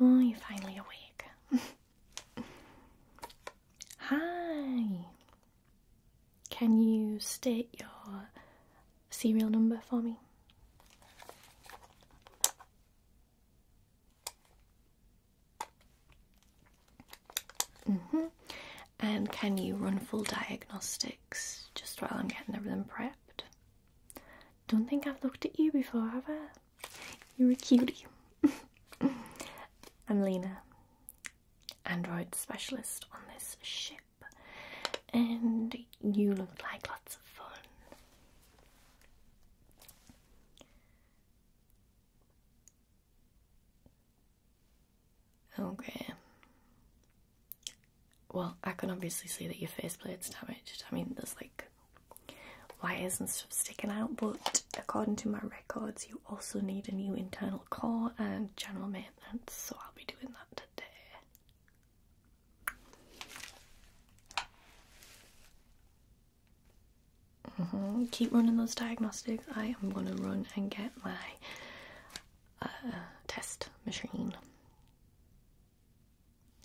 Oh, you're finally awake. Hi. Can you state your serial number for me? -hmm. And can you run full diagnostics just while I'm getting everything prepped? Don't think I've looked at you before, have I? You're a cutie. I'm Lena, android specialist on this ship and you look like lots of fun. Okay. Well, I can obviously see that your face plate's damaged. I mean, there's like wires and stuff sticking out, but according to my records, you also need a new internal core and general maintenance, so I'll be doing that. Mm-hmm. Keep running those diagnostics. I am going to run and get my uh, test machine.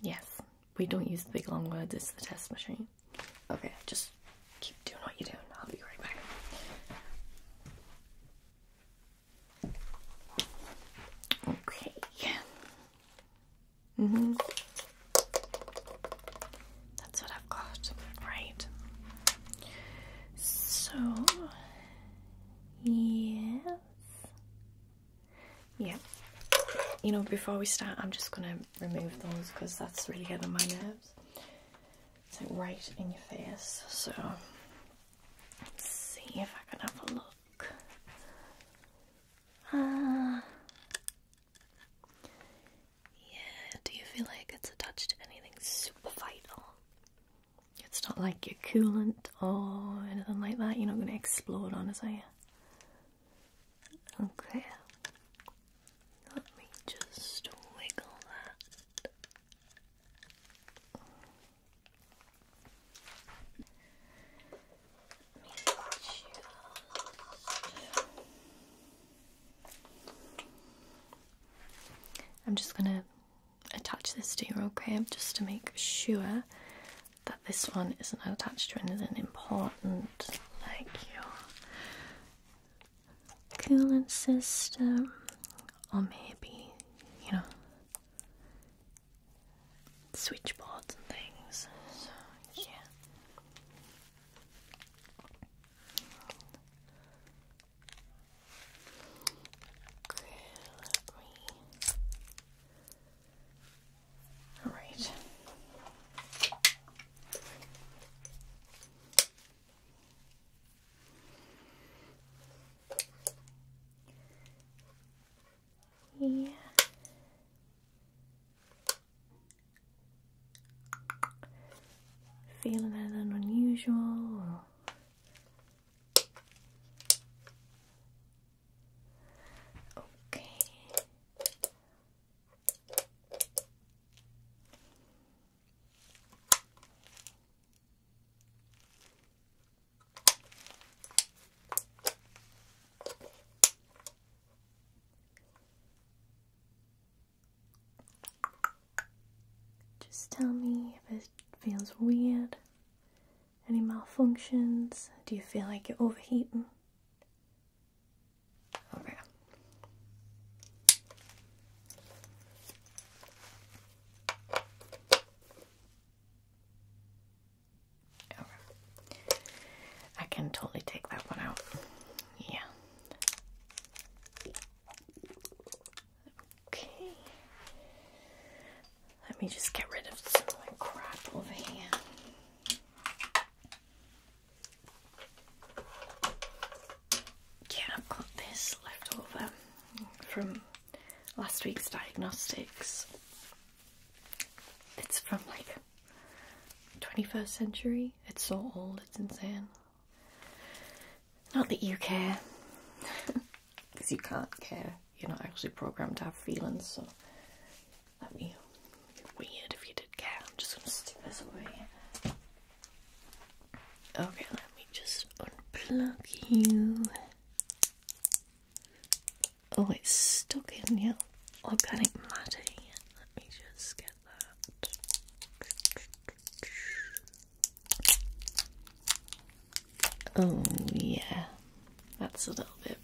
Yes, we don't use the big long words, it's the test machine. Okay, just keep doing what you're doing. I'll be right back. Okay. hmm That's what I've got. Right. So yes. Yeah. You know, before we start, I'm just gonna remove those because that's really getting my nerves. It's like right in your face. So Let's see if I can have a look. Uh, yeah, do you feel like it's attached to anything super vital? It's not like your coolant or anything like that. You're not going to explode on us, are you? Okay. Let me just wiggle that. I'm just gonna attach this to your okay just to make sure that this one isn't attached to anything important like your cooling system, or maybe, you know, switchboards and things. So, yeah. Alright. Yeah. Feeling that unusual Okay. Just tell me if it feels weird. Any malfunctions? Do you feel like you're overheating? Okay. I can totally take that one out. Yeah. Okay. Let me just get rid of some crap over here yeah, I've got this left over from last week's diagnostics. It's from like 21st century. It's so old, it's insane. Not that you care, because you can't care. You're not actually programmed to have feelings, so that'd be weird if you did care. I'm just gonna stick this away. Okay, let me just unplug you. Oh, it's stuck in your organic matter. Let me just get that. Oh, yeah, that's a little bit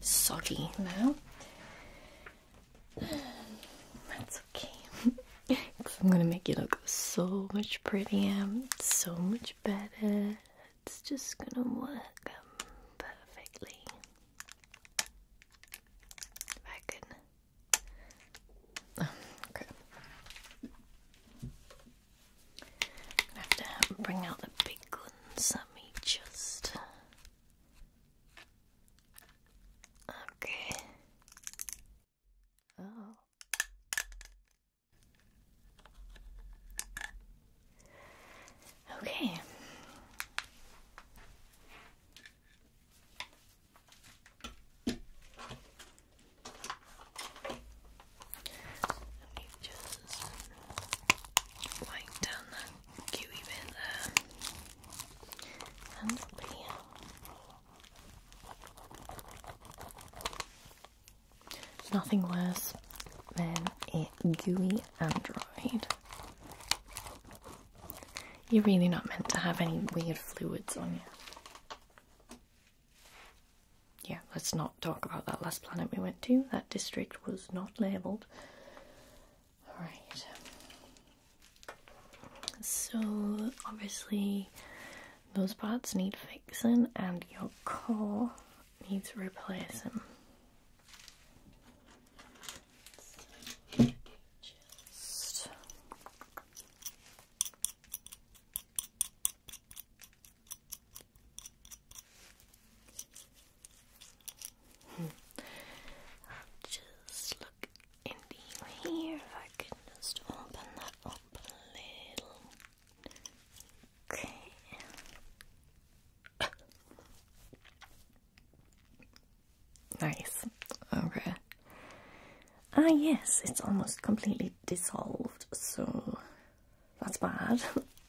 soggy now. That's okay. i I'm gonna make you look so much prettier, so much better. It's just gonna work um, perfectly. If I could. Oh, okay. I have to um, bring out the big guns. Let me just Okay. Oh. Okay. Let me just wipe down that gooey bit there. Nothing worse than a gooey android. You're really not meant to have any weird fluids on you. Yeah, let's not talk about that last planet we went to. That district was not labelled. Alright. So, obviously, those parts need fixing and your core needs replacing. Just hmm look here I can just open that up a little. Okay. nice. Okay. Ah, yes, it's almost completely dissolved, so that's bad.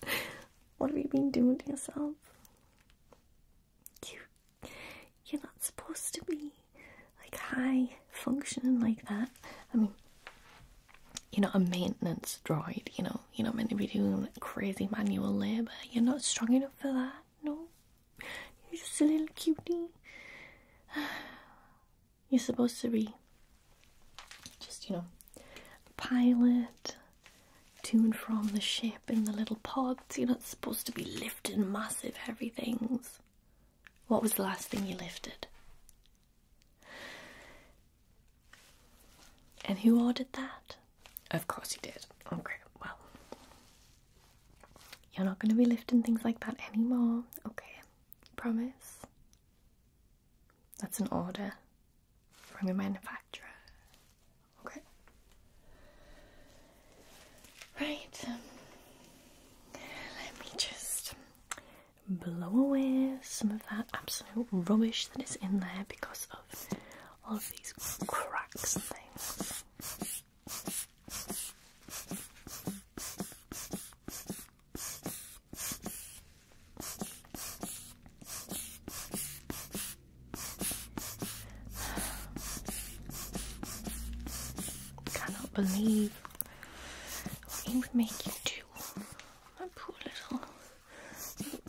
what have you been doing to yourself? Cute. You're not supposed to be like high functioning like that. I mean, you're not a maintenance droid, you know. You're not meant to be doing crazy manual labour. You're not strong enough for that, no. You're just a little cutie. You're supposed to be just, you know, a pilot to and from the ship, in the little pods. You're not supposed to be lifting massive heavy things. What was the last thing you lifted? And who ordered that? Of course you did. Okay, well. You're not going to be lifting things like that anymore. Okay, promise. That's an order from the manufacturer. Okay. Right. Um, let me just blow away some of that absolute rubbish that is in there because of all of these cracks and things. Cannot believe what he would make you do, my poor little baby.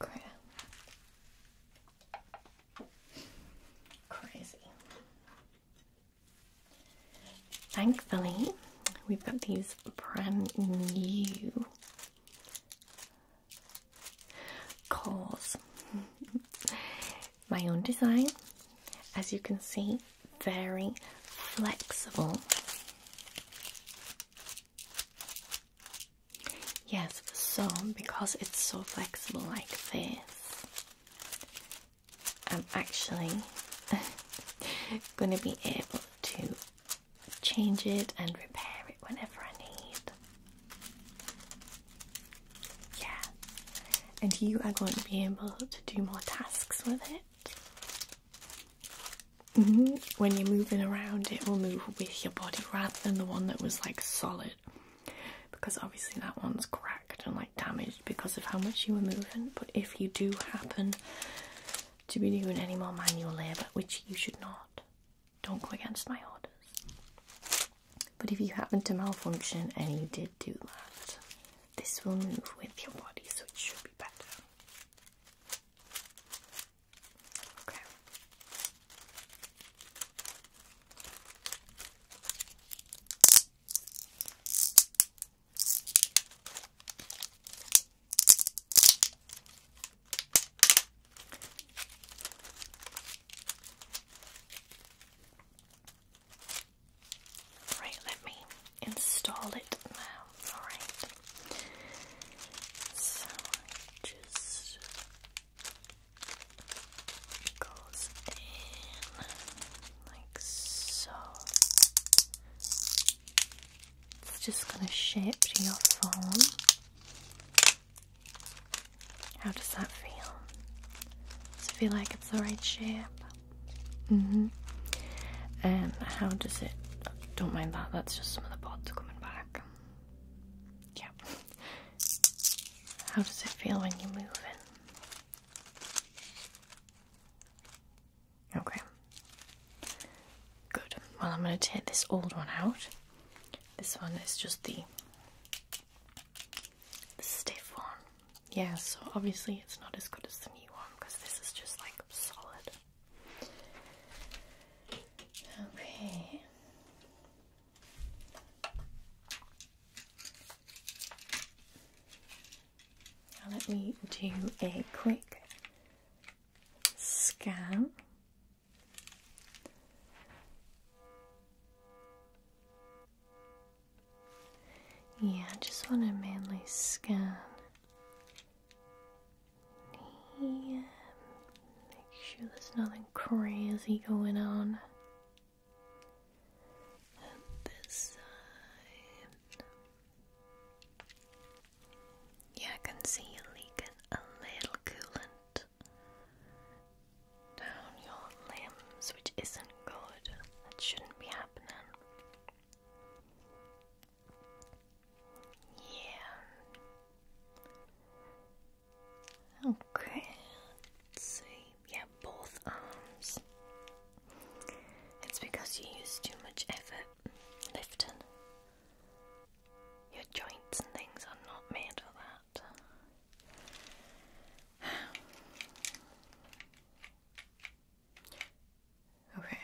Okay. Crazy. Thankfully, we've got these brand new cores. My own design, as you can see, very flexible. Yes, so because it's so flexible like this, I'm actually going to be able to change it and repair it whenever I need. Yeah, and you are going to be able to do more tasks with it. Mm-hmm. When you're moving around, it will move with your body rather than the one that was like solid because obviously that one's cracked and like damaged because of how much you were moving. But if you do happen to be doing any more manual labour, which you should not, don't go against my orders. But if you happen to malfunction and you did do that, this will move with your body, so it should be better. Okay. Right, let me install it now. Alright. So just goes in like so. It's just going to shape to your form. How does that feel? Does it feel like it's the right shape? Mm hmm. And how does it? Don't mind that, that's just some of the pods coming back. Yeah. How does it feel when you move in? Okay. Good. Well, I'm going to take this old one out. This one is just the, the stiff one. Yeah, so obviously it's not as good as the new one because this is just like solid. Okay. Now let me do a quick scan. Yeah, I just want a manly scan Make sure there's nothing crazy going on. this side. Yeah, I can see you leaking a little coolant down your limbs, which isn't good. That shouldn't be happening. Yeah. Okay, let Yeah, both arms. It's because you use too much effort lifting. Your joints and things are not made for that. Okay.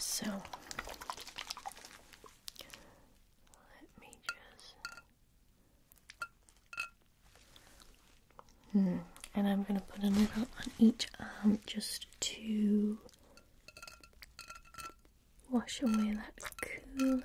So let me just. Hmm, and I'm going to put a little on each arm um, just to wash away that coolant.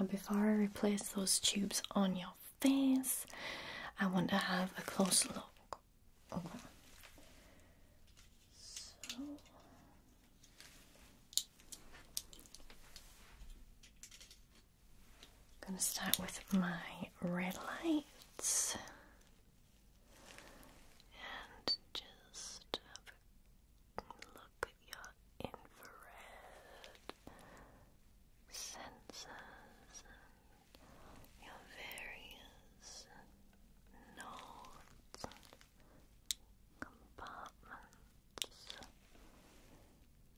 Now, before I replace those tubes on your face, I want to have a close look. Okay. So I'm going to start with my red lights and just look at your infrared sensors your various nodes and compartments.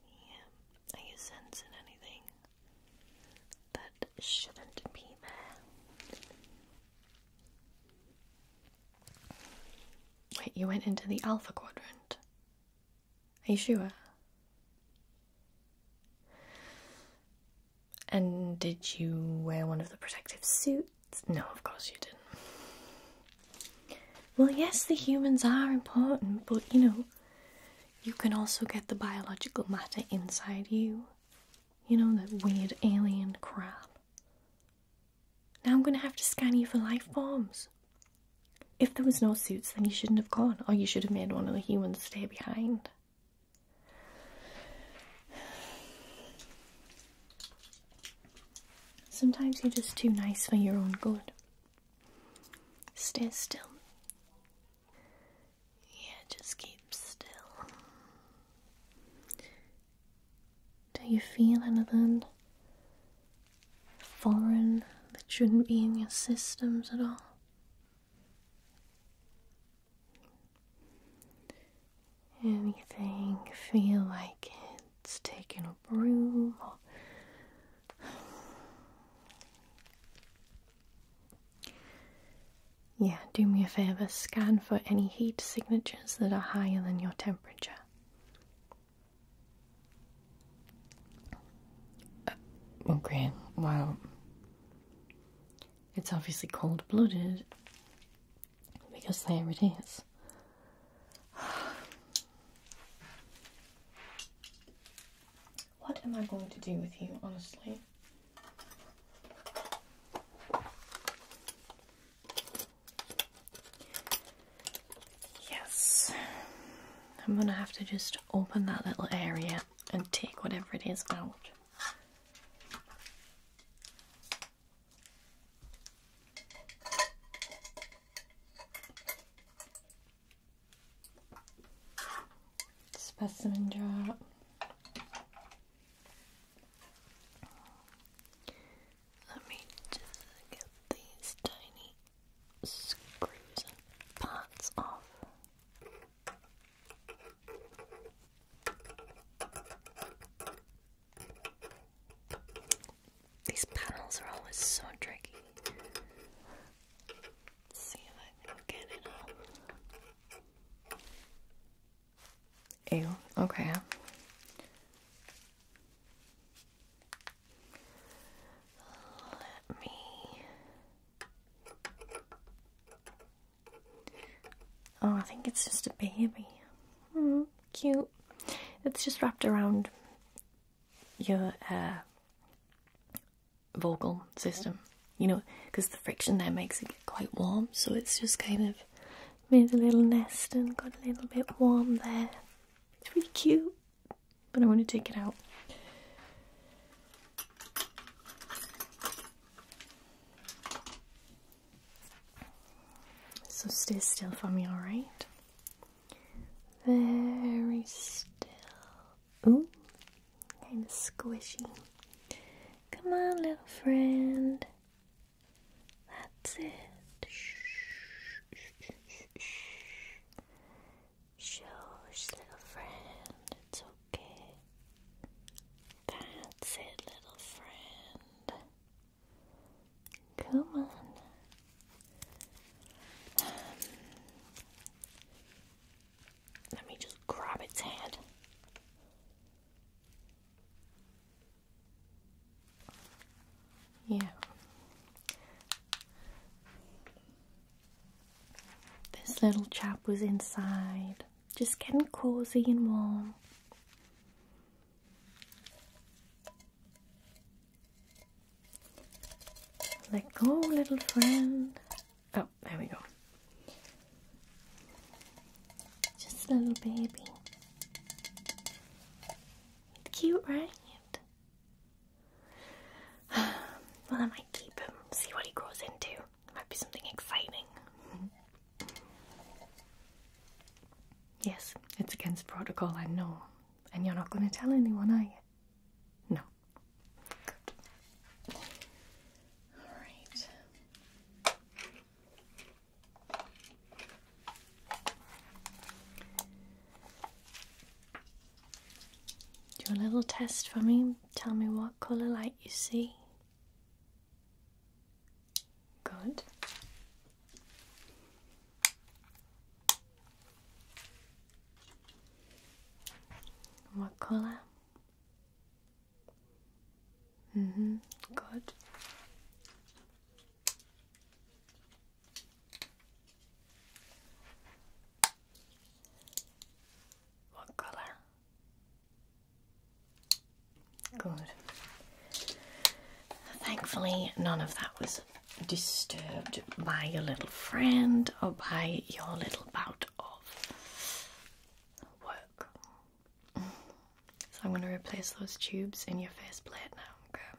Yeah. Are you sensing anything that shouldn't be there? Wait, you went into the Alpha Quadrant? Are you sure? And did you wear one of the protective suits? No, of course you didn't. Well, yes, the humans are important, but you know, you can also get the biological matter inside you. You know, that weird alien crap. Now I'm gonna have to scan you for life forms. If there was no suits, then you shouldn't have gone, or you should have made one of the humans stay behind. Sometimes you're just too nice for your own good. Stay still. Yeah, just keep still. Do you feel anything foreign that shouldn't be in your systems at all? Anything feel like it's taking up room yeah, do me a favour, scan for any heat signatures that are higher than your temperature. okay, uh, well, it's obviously cold blooded because there it is. What am I going to do with you, honestly? Yes, I'm gonna have to just open that little area and take whatever it is out. Specimen jar. Let me just get these tiny screws and parts off. These panels are always so tricky. see if I can get it up. Ew, okay. Let me Oh, I think it's just a baby. Mm, cute. It's just wrapped around your uh, vocal system, you know, because the friction there makes it quite warm, so it's just kind of made a little nest and got a little bit warm there. It's really cute but I want to take it out. So stay still for me, alright? Very still. Ooh, kind of squishy. Come on, little friend. That's it. Shh, Shush, little friend, it's okay. That's it, little friend. Come on. Um, let me just grab its head. Yeah. This little chap was inside, just getting cozy and warm. Let go, little friend. Oh, there we go. Just a little baby. It's cute, right? Well, I might keep him, see what he grows into. Might be something exciting. yes, it's against protocol, I know. And you're not going to tell anyone, are you? No. Good. Alright. Do a little test for me. Tell me what colour light you see. Good. What colour? hmm. Good. What color? Good. Thankfully, none of that was disturbed by your little friend or by your little bout of work. So I'm going to replace those tubes in your plate now, okay?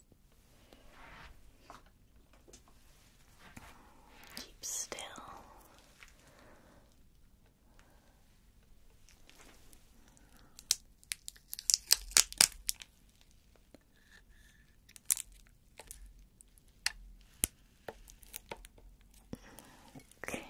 Keep still. Okay.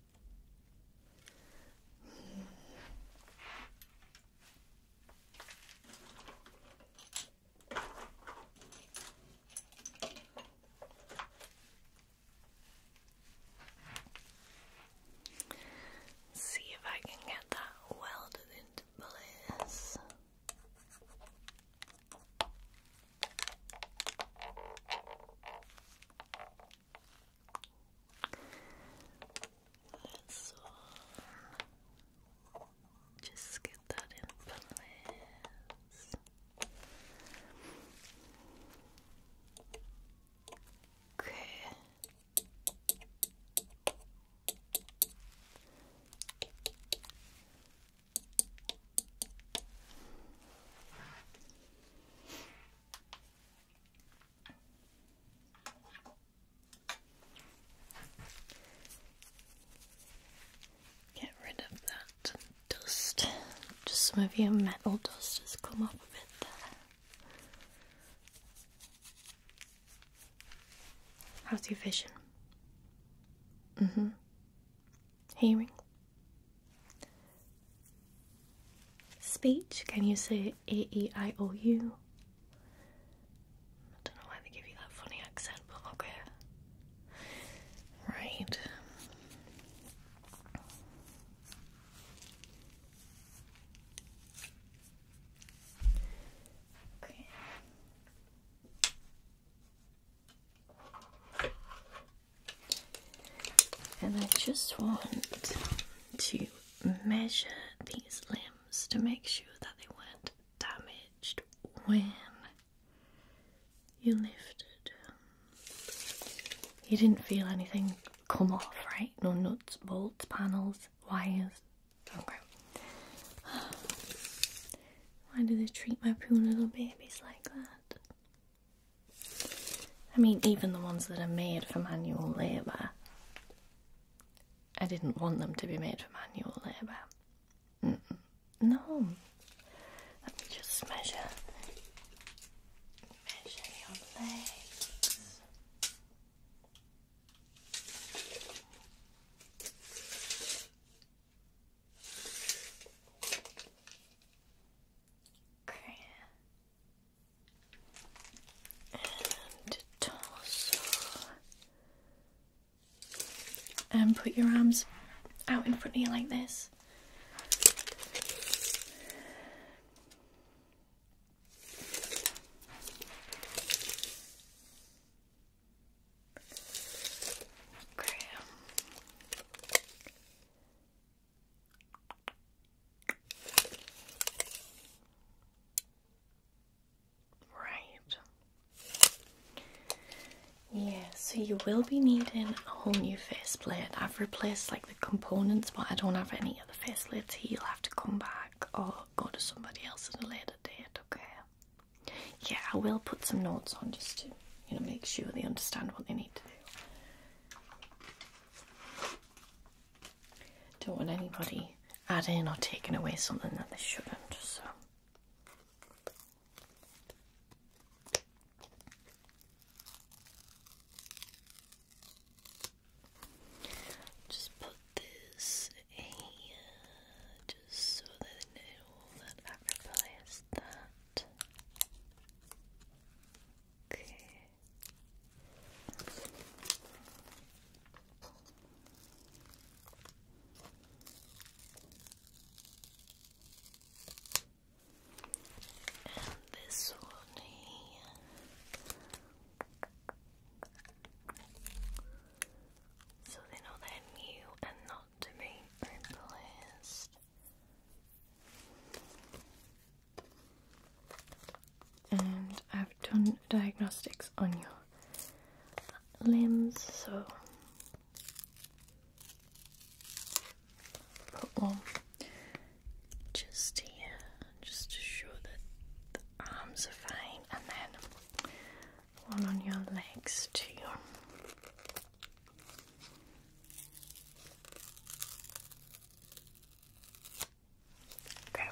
See if I can get that welded into place. Let's just get that in place. Okay. Get rid of that dust. Just some of your metal dust has come off of it there. How's your vision? Mm hmm hearing. Speech, can you say A E I O U? I don't know why they give you that funny accent, but okay. Right. Okay. And I just want to measure these limbs to make sure that they weren't damaged when you lifted. You didn't feel anything come off, right? No nuts, bolts, panels, wires. Okay. Why do they treat my poor little babies like that? I mean, even the ones that are made for manual labour, I didn't want them to be made for manual labour. No. Let me just measure. Measure your legs. And torso. And put your arms out in front of you like this. Right. Yeah, so you will be needing a whole new faceplate. I've replaced like the components, but I don't have any other faceplates here. You'll have to come back or go to somebody else at a later date, okay? Yeah, I will put some notes on just to, you know, make sure they understand what they need to do. Don't want anybody adding or taking away something that they shouldn't, so. Just put this here just so they know that i that. Okay. And this one here. So they know they're new and not to be replaced. And I've done diagnostics on your limbs, so put one just here, just to show that the arms are fine, and then one on your legs too. Okay.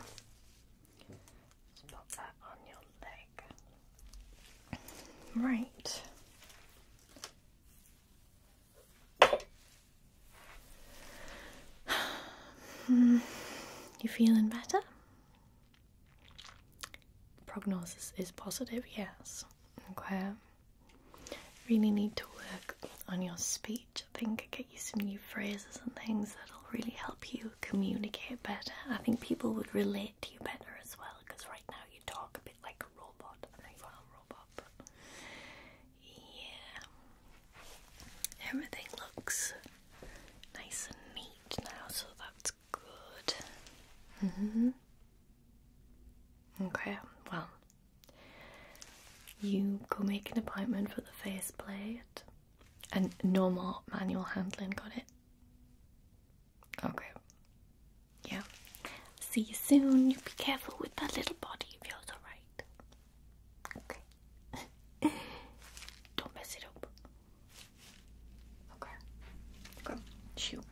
Just pop that on your leg. Right. Hmm. You feeling better? prognosis is positive, yes. Okay. Really need to work on your speech. I think get used to new phrases and things that'll really help you communicate better. I think people would relate to you better as well because right now you talk a bit like a robot. a robot, yeah. Everything looks nice and neat now, so that's good. hmm Okay, well, you go make an appointment for the faceplate and no more manual handling, got it? Okay. Yeah. See you soon. You be careful with that little body of yours, alright? Okay. Don't mess it up. Okay. Okay. Shoot.